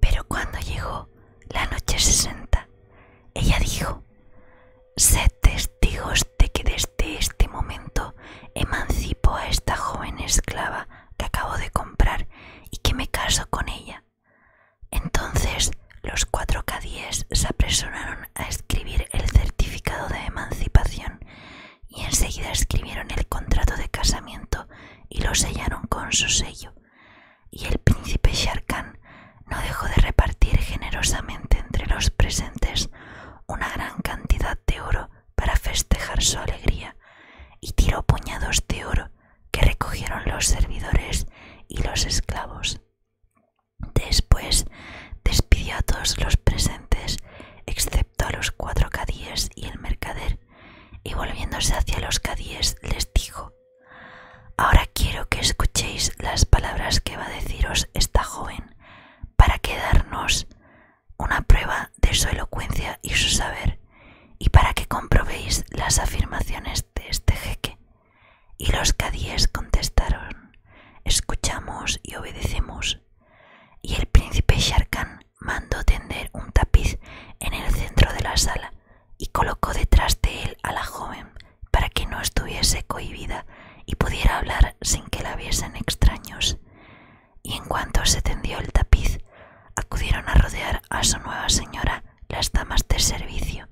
Pero cuando llegó la noche sesenta, ella dijo, «Sé testigos de que desde este momento emancipo a esta joven esclava que acabo de comprar y que me caso con ella. Entonces los cuatro cadíes se apresuraron a escribir el certificado de emancipación y enseguida escribieron el contrato de casamiento y lo sellaron con su sello. Y el príncipe Sharkán no dejó de repartir generosamente entre los presentes una gran cantidad de oro para festejar su alegría y tiró puñados de oro que recogieron los servidores y los esclavos. Después despidió a todos los presentes, excepto a los cuatro cadíes y el mercader, y volviéndose hacia los cadíes les dijo, Ahora quiero que escuchéis las palabras que va a deciros esta joven, para que darnos una prueba de su elocuencia y su saber, y para que comprobéis las afirmaciones de este jeque. Y los cadíes contestaron, escuchamos y obedecemos. Y el príncipe Sharkan mandó tender un tapiz en el centro de la sala y colocó detrás de él a la joven para que no estuviese cohibida y pudiera hablar sin que la viesen extraños. Y en cuanto se tendió el tapiz, acudieron a rodear a su nueva señora las damas de servicio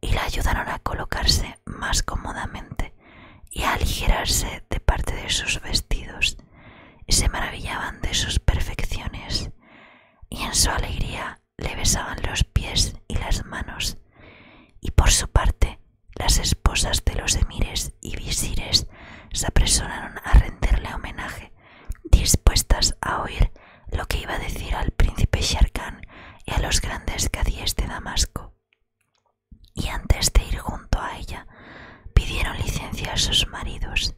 y la ayudaron a colocarse más cómodamente y a aligerarse de parte de sus vestidos y se maravillaban de sus perfecciones y en su alegría le besaban los pies y las manos y por su parte las esposas de los emires y visires se apresuraron a renderle homenaje dispuestas a oír lo que iba a decir al príncipe Sharkan y a los grandes cadíes de Damasco. Y antes de ir junto a ella, pidieron licencia a sus maridos.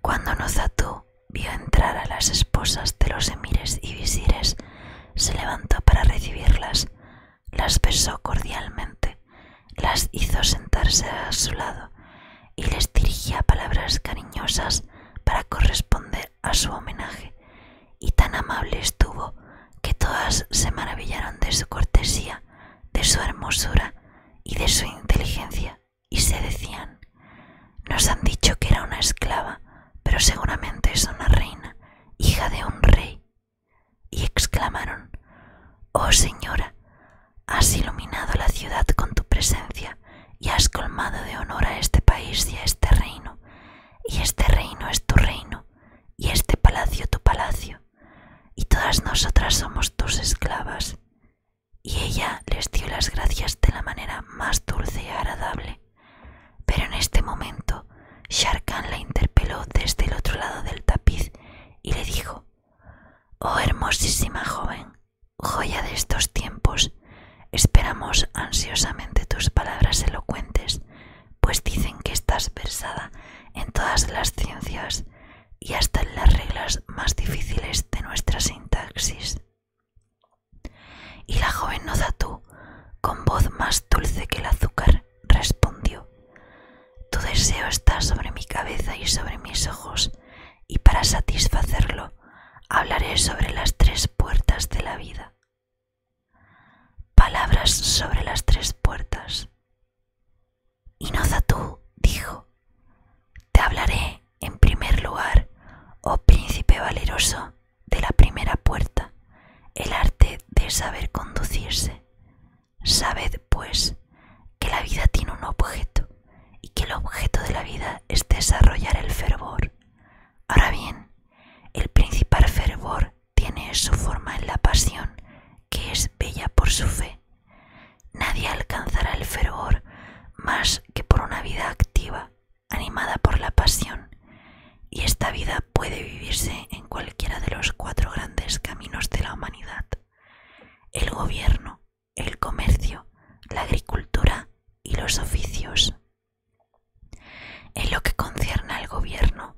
Cuando Nozatú vio entrar a las esposas de los emires y visires, se levantó para recibirlas, las besó cordialmente, las hizo sentarse a su lado y les dirigía palabras cariñosas para corresponder a su homenaje, y tan amable estuvo que todas se maravillaron de su cortesía, de su hermosura y de su inteligencia, y se decían, nos han dicho que era una esclava, pero seguramente es una reina, hija de un rey. Y exclamaron, Oh señora, has iluminado la ciudad con tu presencia y has colmado de honor a este país y a este reino, y este reino es tu reino, y este palacio tu palacio, y todas nosotras somos tus esclavas. Y ella les dio las gracias de la manera más dulce y agradable. Pero en este momento, Sharkan la interpeló desde el otro lado del tapiz y le dijo, Oh hermosísima joven, joya de estos tiempos, Esperamos ansiosamente tus palabras elocuentes, pues dicen que estás versada en todas las ciencias y hasta en las reglas más difíciles de nuestra sintaxis. Y la joven tú, con voz más dulce que el azúcar, respondió: Tu deseo está sobre mi cabeza y sobre mis ojos, y para satisfacerlo hablaré sobre las tres puertas de la vida. Palabras sobre las tres puertas. tú, dijo, Te hablaré en primer lugar, oh príncipe valeroso, de la primera puerta, el arte de saber conducirse. Sabed, pues, que la vida tiene un objeto y que el objeto de la vida es desarrollar el fervor. Ahora bien, el principal fervor tiene su forma en la pasión, que es bella por su fe. Nadie alcanzará el fervor más que por una vida activa, animada por la pasión, y esta vida puede vivirse en cualquiera de los cuatro grandes caminos de la humanidad, el gobierno, el comercio, la agricultura y los oficios. En lo que concierne al gobierno,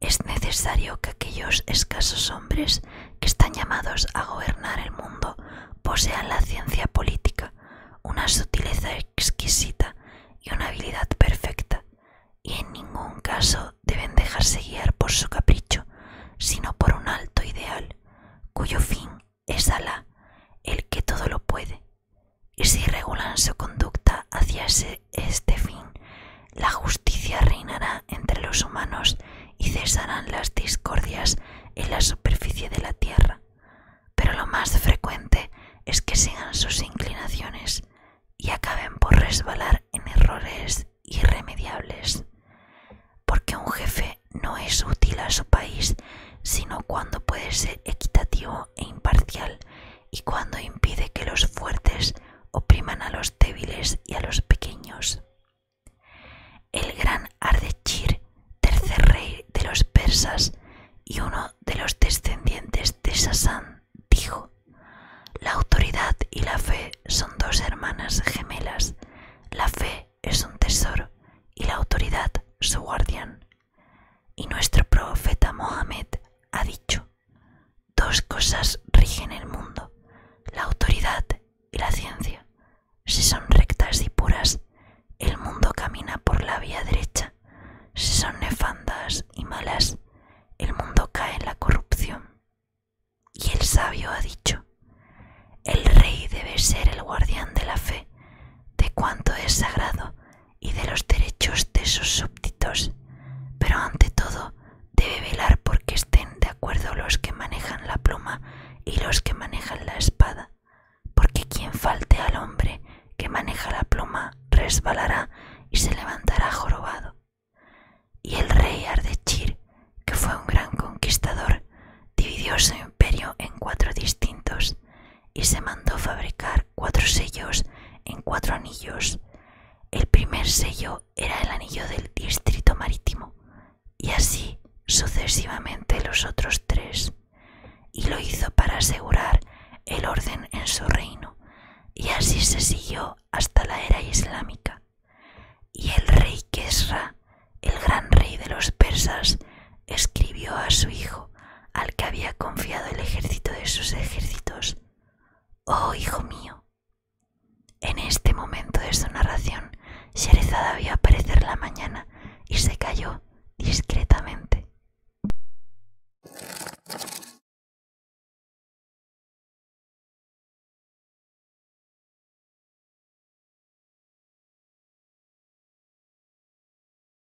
es necesario que aquellos escasos hombres que están llamados a gobernar el mundo posean la ciencia política, una sutileza exquisita y una habilidad perfecta, y en ningún caso deben dejarse guiar por su capricho, sino por un alto ideal, cuyo fin es Alá, el que todo lo puede, y si regulan su conducta hacia este fin, la justicia reinará entre los humanos y cesarán las discordias en la superficie de la tierra. Pero lo más frecuente es que sigan sus inclinaciones y acaben por resbalar en errores irremediables. Porque un jefe no es útil a su país sino cuando puede ser equitativo e imparcial y cuando impide que los fuertes opriman a los débiles y a los pequeños. El gran Ardechir, tercer rey de los persas y uno de los descendientes de Sasán, dijo, La autoridad y la fe son dos hermanas gemelas, la fe es un tesoro y la autoridad su guardián. Y nuestro profeta Mohammed ha dicho, dos cosas rigen el mundo, la autoridad y la ciencia. Si son rectas y puras, el mundo camina por la vía derecha. Si son nefandas y malas, el mundo cae en la corrupción. Y el sabio ha dicho, el rey debe ser el guardián de la fe, de cuanto es sagrado y de los derechos de sus súbditos, pero ante todo debe velar porque estén de acuerdo los que manejan la pluma y los que manejan la espada, porque quien falte al hombre que maneja la pluma resbalará y se levantará jorobado. Y el rey Ardechir, que fue un gran conquistador, dividió su imperio en cuatro distintos, y se mandó fabricar cuatro sellos en cuatro anillos. El primer sello era el anillo del distrito marítimo y así sucesivamente los otros tres, y lo hizo para asegurar el orden en su reino, y así se siguió hasta la era islámica. Y el rey Kesra, el gran rey de los persas, escribió a su hijo, al que había confiado el ejército de sus ejércitos, Oh hijo mío. En este momento de su narración, Sherezada vio aparecer la mañana y se cayó discretamente.